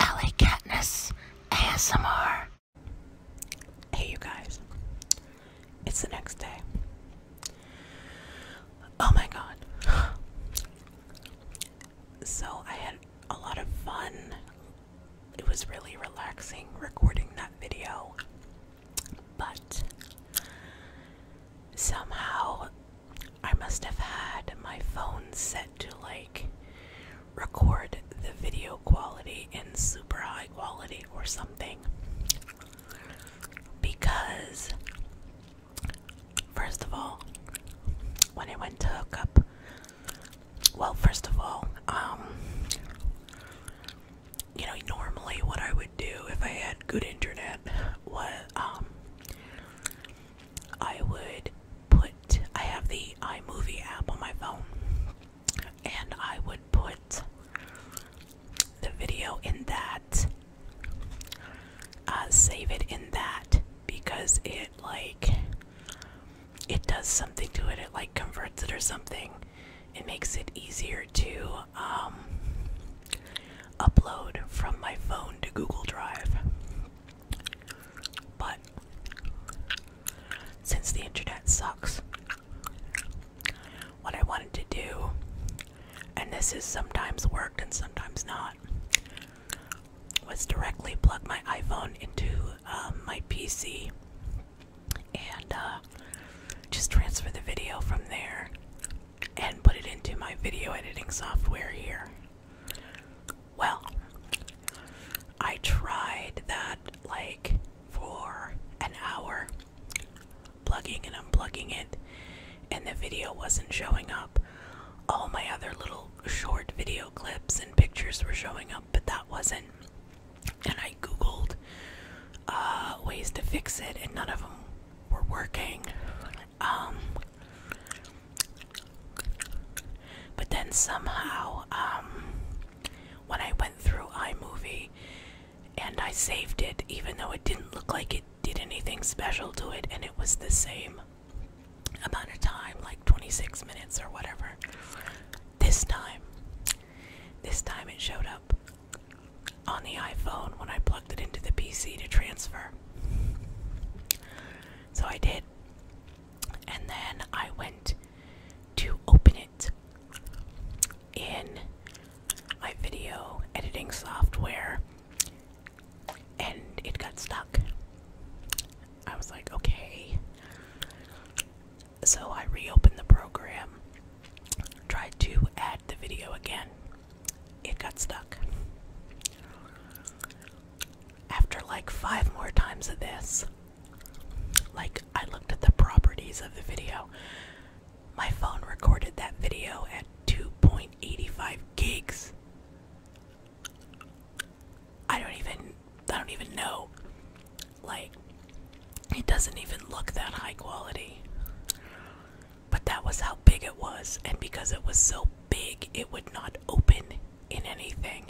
LA Katniss ASMR. Hey, you guys. It's the next day. Oh my god. So, I had a lot of fun. It was really relaxing recording that video. But somehow I must have had my phone set to like record the video quality in super high quality or something. Because, first of all, when I went to hook up, well, first of all, um, you know, normally what I would do if I had good internet what um, I would put, I have the iMovie app on my phone, and I would put the video in that, uh, save it in that because it like, it does something to it, it like converts it or something. It makes it easier to um, upload from my phone to Google Drive. But since the internet sucks, what I wanted to do, and this has sometimes worked and sometimes not, was directly plug my iPhone into um, my PC and uh, just transfer the video from there and put it into my video editing software here. Well, I tried that like for an hour, plugging and unplugging it, and the video wasn't showing up. All my other little short video clips and pictures were showing up, but that wasn't. And I googled uh, ways to fix it, and none of them were working. Um, but then somehow, um, when I went through iMovie and I saved it, even though it didn't look like it did anything special to it, and it was the same amount of time, like 26 minutes or whatever, this time, this time it showed up on the iPhone when I plugged it into the PC to transfer. So I did. And then I went to open it in my video editing software and it got stuck. I was like, okay. So I reopened the program, tried to add the video again. It got stuck after like five more times of this, like I looked at the properties of the video. My phone recorded that video at 2.85 gigs. I don't even I don't even know. Like it doesn't even look that high quality. But that was how big it was and because it was so big it would not open in anything.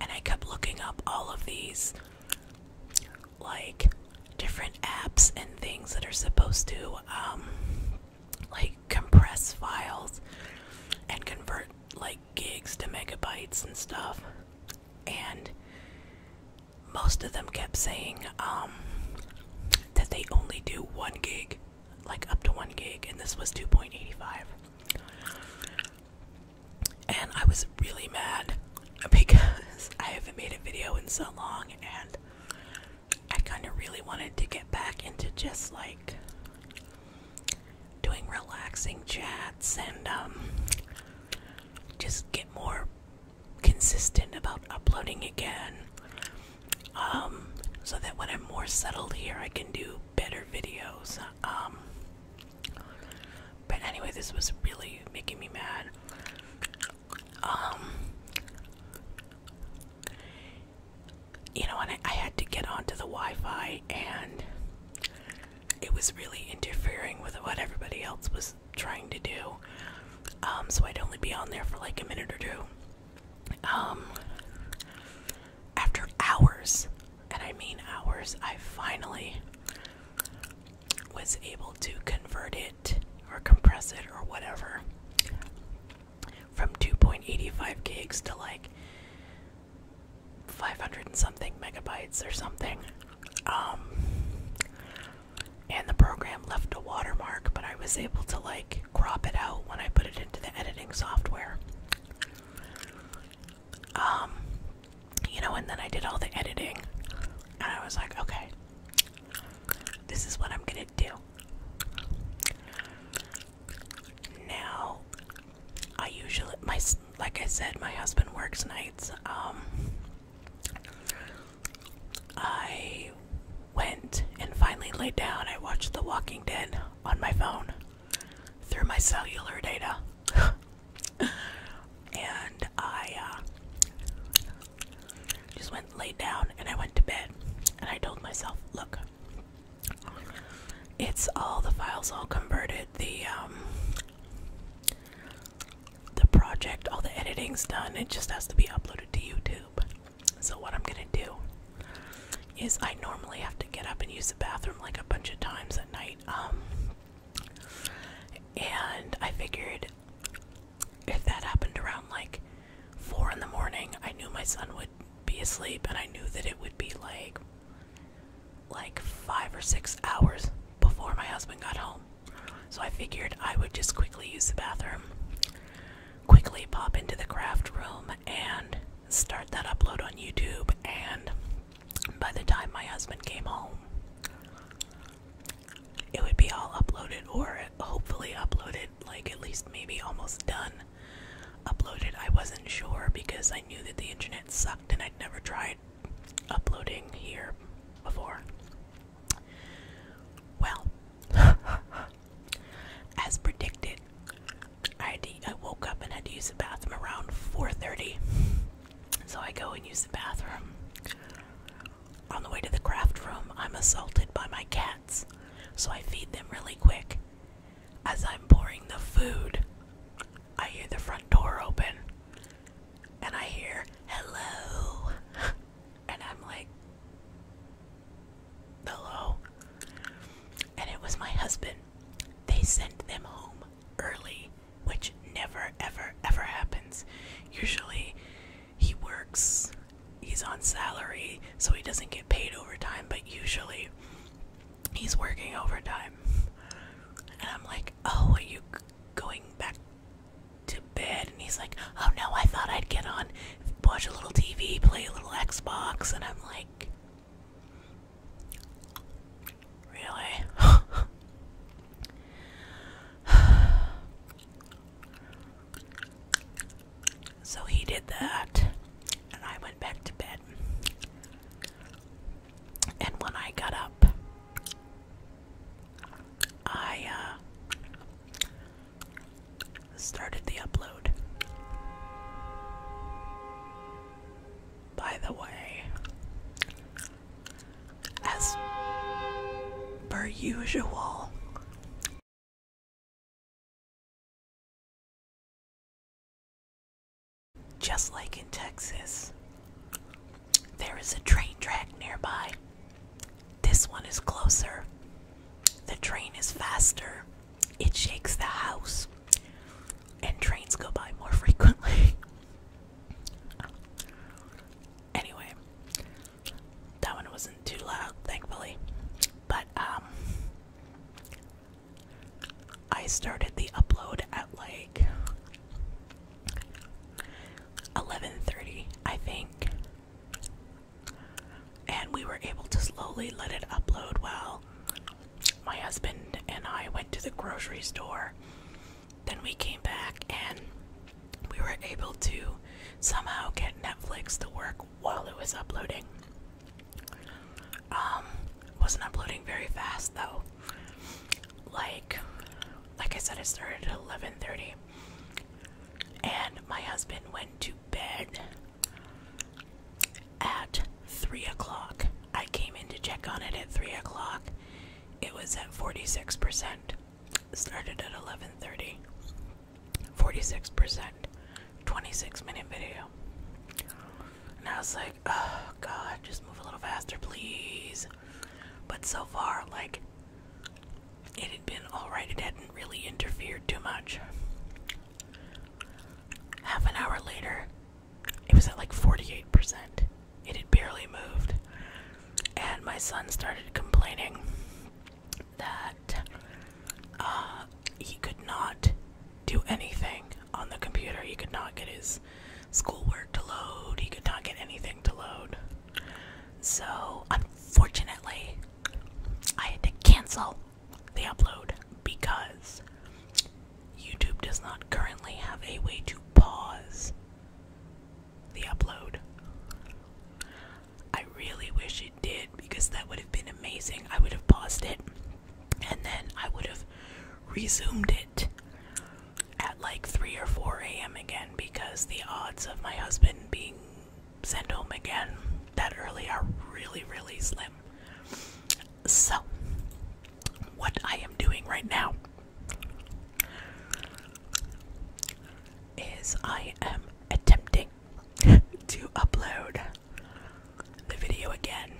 And I kept looking up all of these like different apps and things that are supposed to um like compress files and convert like gigs to megabytes and stuff. And most of them kept saying um that they only do 1 gig, like up to 1 gig and this was 2.85. And I was really mad because I haven't made a video in so long and I kind of really wanted to get back into just like doing relaxing chats and um, just get more consistent about uploading again um, so that when I'm more settled here I can do better videos. Um, but anyway, this was really making me mad. Um, you know, and I, I had to get onto the Wi Fi, and it was really interfering with what everybody else was trying to do. Um, so I'd only be on there for like a minute or two. Um, after hours, and I mean hours, I finally was able to convert it or compress it or whatever from 2.85 gigs to like 500 and something megabytes or something. Um, and the program left a watermark, but I was able to like crop it out when I put it into the editing software. Um, you know, and then I did all the editing, and I was like, okay, this is what I'm gonna do. Now, I usually, my like I said, my husband works nights. Um, I went and finally laid down. I watched The Walking Dead on my phone through my cellular data. and I uh, just went laid down and I went to bed. And I told myself, look, it's all the files all converted, the um, the project, all the editing's done. It just has to be uploaded to YouTube. So what I'm gonna do is I normally have to get up and use the bathroom like a bunch of times at night. Um, and I figured if that happened around like four in the morning, I knew my son would be asleep, and I knew that it would be like like five or six hours before my husband got home. So I figured I would just quickly use the bathroom, quickly pop into the craft room, and start that upload on YouTube. And by the time my husband came home, it would be all uploaded or hopefully uploaded, like at least maybe almost done. Uploaded, I wasn't sure because I knew that the internet sucked and I'd never tried uploading here before. Well, as predicted, I, had to, I woke up and had to use the bathroom around 4:30. So I go and use the bathroom. On the way to the craft room, I'm assaulted by my cats. So I feed them really quick. As I'm pouring the food, I hear the front door open. And I hear, hello. And I'm like, hello. And it was my husband. They sent them home early, which never, ever, ever happens. Usually, he works, he's on salary, so he doesn't get paid overtime, but usually, he's working overtime. And I'm like, Oh, are you going back to bed? And he's like, Oh no, I thought I'd get on, watch a little TV, play a little Xbox. And I'm like, Really? so he did that, and I went back to bed. And when I got up, I uh, started the upload by the way, as per usual. Just like in Texas, there is a train track nearby. This one is closer. The train is faster it shakes the house and trains go by more frequently. anyway, that one wasn't too loud, thankfully. But um I started the upload at like 11:30, I think. And we were able to slowly let it upload while my husband and I went to the grocery store. Then we came back and we were able to somehow get Netflix to work while it was uploading. Um, wasn't uploading very fast though. Like, like I said, it started at 11:30, and my husband went to bed at 3 o'clock. I came in to check on it at 3 o'clock. It was at 46%. Started at 11:30. 46%. 26 minute video. And I was like, oh god, just move a little faster, please. But so far, like, it had been alright. It hadn't really interfered too much. Half an hour later, it was at like 48%. It had barely moved. And my son started complaining that uh, he could not do anything on the computer. He could not get his schoolwork to load, he could not get anything to load. So, unfortunately, I had to cancel the upload because YouTube does not currently have a way to pause the upload. I really wish it did because that would have been amazing. I would have paused it and then I would have resumed it at like 3 or 4 a.m. again because the odds of my husband being sent home again that early are really, really slim. So, what I am doing right now is I am attempting to upload the video again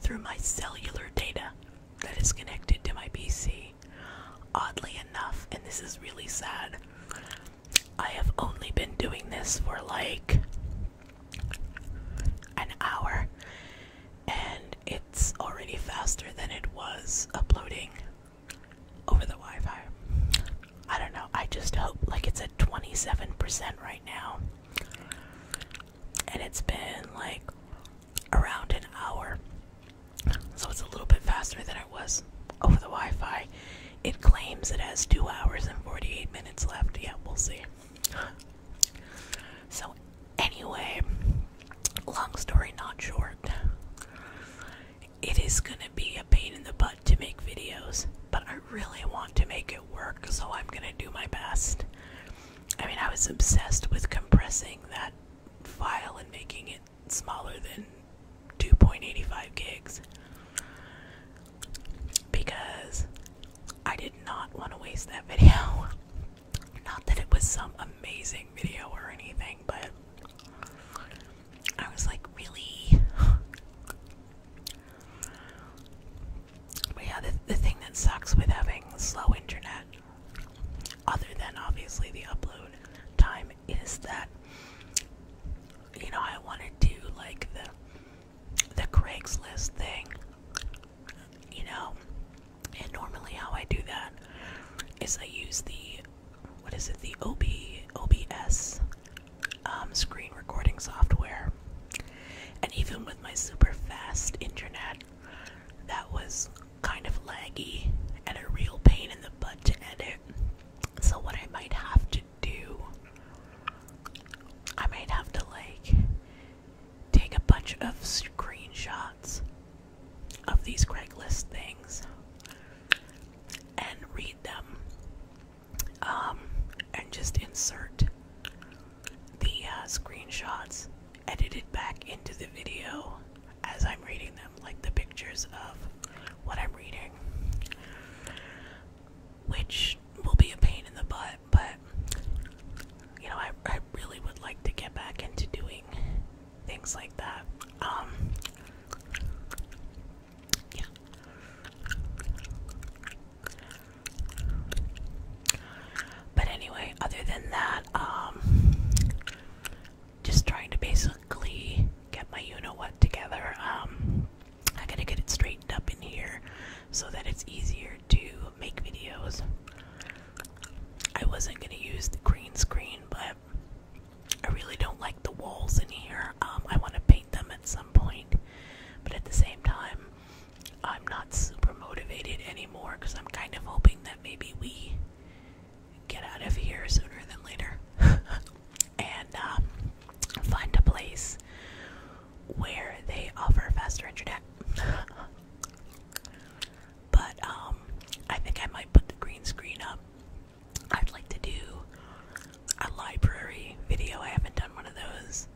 through my cellular data that is connected to my PC. Oddly enough, and this is really sad, I have only been doing this for like an hour and it's already faster than it was uploading over the Wi Fi. I don't know, I just hope like it's at 27% right now, and it's been like around an hour, so it's a little bit faster than it was over the Wi Fi. It claims it has two hours and 48 minutes left. Yeah, we'll see so, anyway, long story not short, it is gonna be a pain in the butt to make videos, but I really want to make it work, so I'm gonna do my best. I mean, I was obsessed with compressing that file and making it smaller than 2.85 gigs because I did not want to waste that video. Not that it was some amazing video or anything, but I was like, really? But yeah, the, the thing that sucks with having slow internet, other than obviously the upload time, is that, you know, I want to do like the the Craigslist thing. You know, and normally how I do that is I use the what is it? The OB OBS um, screen recording software. And even with my super fast internet, that was kind of laggy and a real pain in the butt to edit. So what I might have to do, I might have to like take a bunch of screenshots of these Craigslist things and read them um, and just insert the uh, screenshots edited back into the video as I'm reading them, like the pictures of what I'm reading, which will be a pain in the butt, but you know, I I really would like to get back into doing things like that. Um, but anyway, other than that, um, just trying to basically get my you know what together. Um, I gotta get it straightened up in here so that it's easier to make videos. I wasn't gonna use the green screen, but I really don't like the walls in here. Um, I want to paint them at some point, but at the same time, I'm not super motivated anymore because I'm kind of hoping that maybe we get out of here sooner than later and um, find a place where they offer faster internet. But um, I think I might put the green screen up. I'd like to do a library video. I haven't done one of those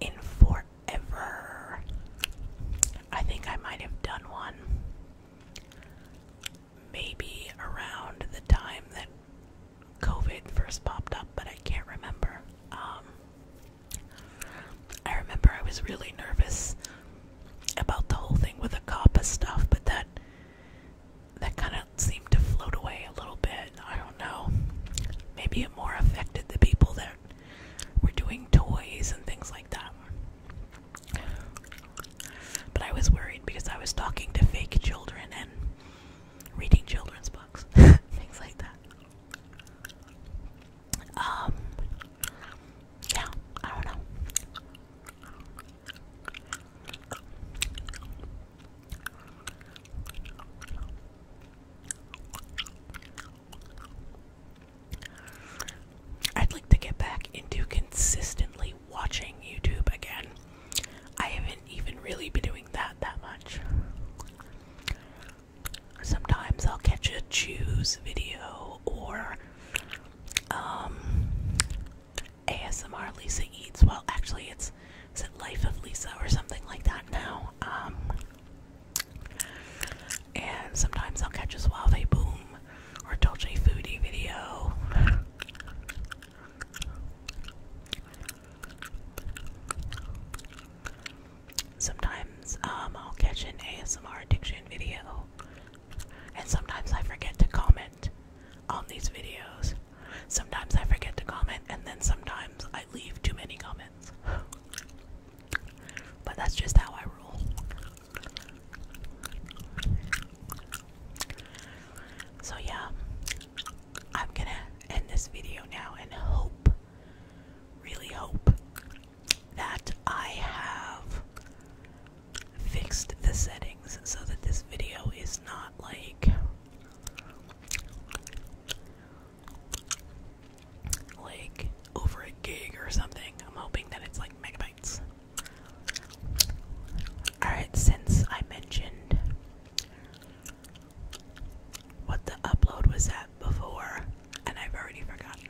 in forever. I think I might have done one maybe around the time that COVID first popped up, but I can't remember. Um, I remember I was really nervous about the whole thing with the COPPA stuff, but that that kind of seemed to float away a little bit. I don't know. Maybe it more affected the people that were doing toys and things like that. But I was worried because I was talking to fake children and reading children's books, things like that. Um, yeah, I don't know. I'd like to get back into consistently watching YouTube again. I haven't even really been doing that that much. Sometimes I'll catch a choose video or um, ASMR Lisa Eats. Well, actually, it's is it Life of Lisa or something like that now. Um, and sometimes I'll catch a Suave Boom or Dolce Foodie video. Sometimes um, I'll catch an ASMR addiction video, and sometimes I forget to comment on these videos. Sometimes I forget to comment, and then sometimes I leave too many comments. But that's just how I roll. So, yeah, I'm gonna end this video now and hope, really hope, that I have fixed the settings so that this video is not like like over a gig or something. I'm hoping that it's like megabytes. Alright, since I mentioned what the upload was at before, and I've already forgotten.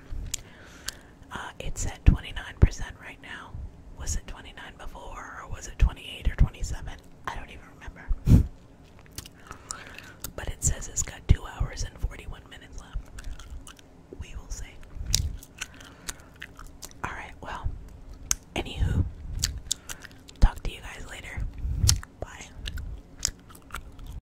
Uh, it's at 29% right now. Was it 29 before, or was it 28 or 27? I don't even remember. but it says it's got 2 hours and 41 minutes left. We will see. Alright, well, anywho, talk to you guys later. Bye.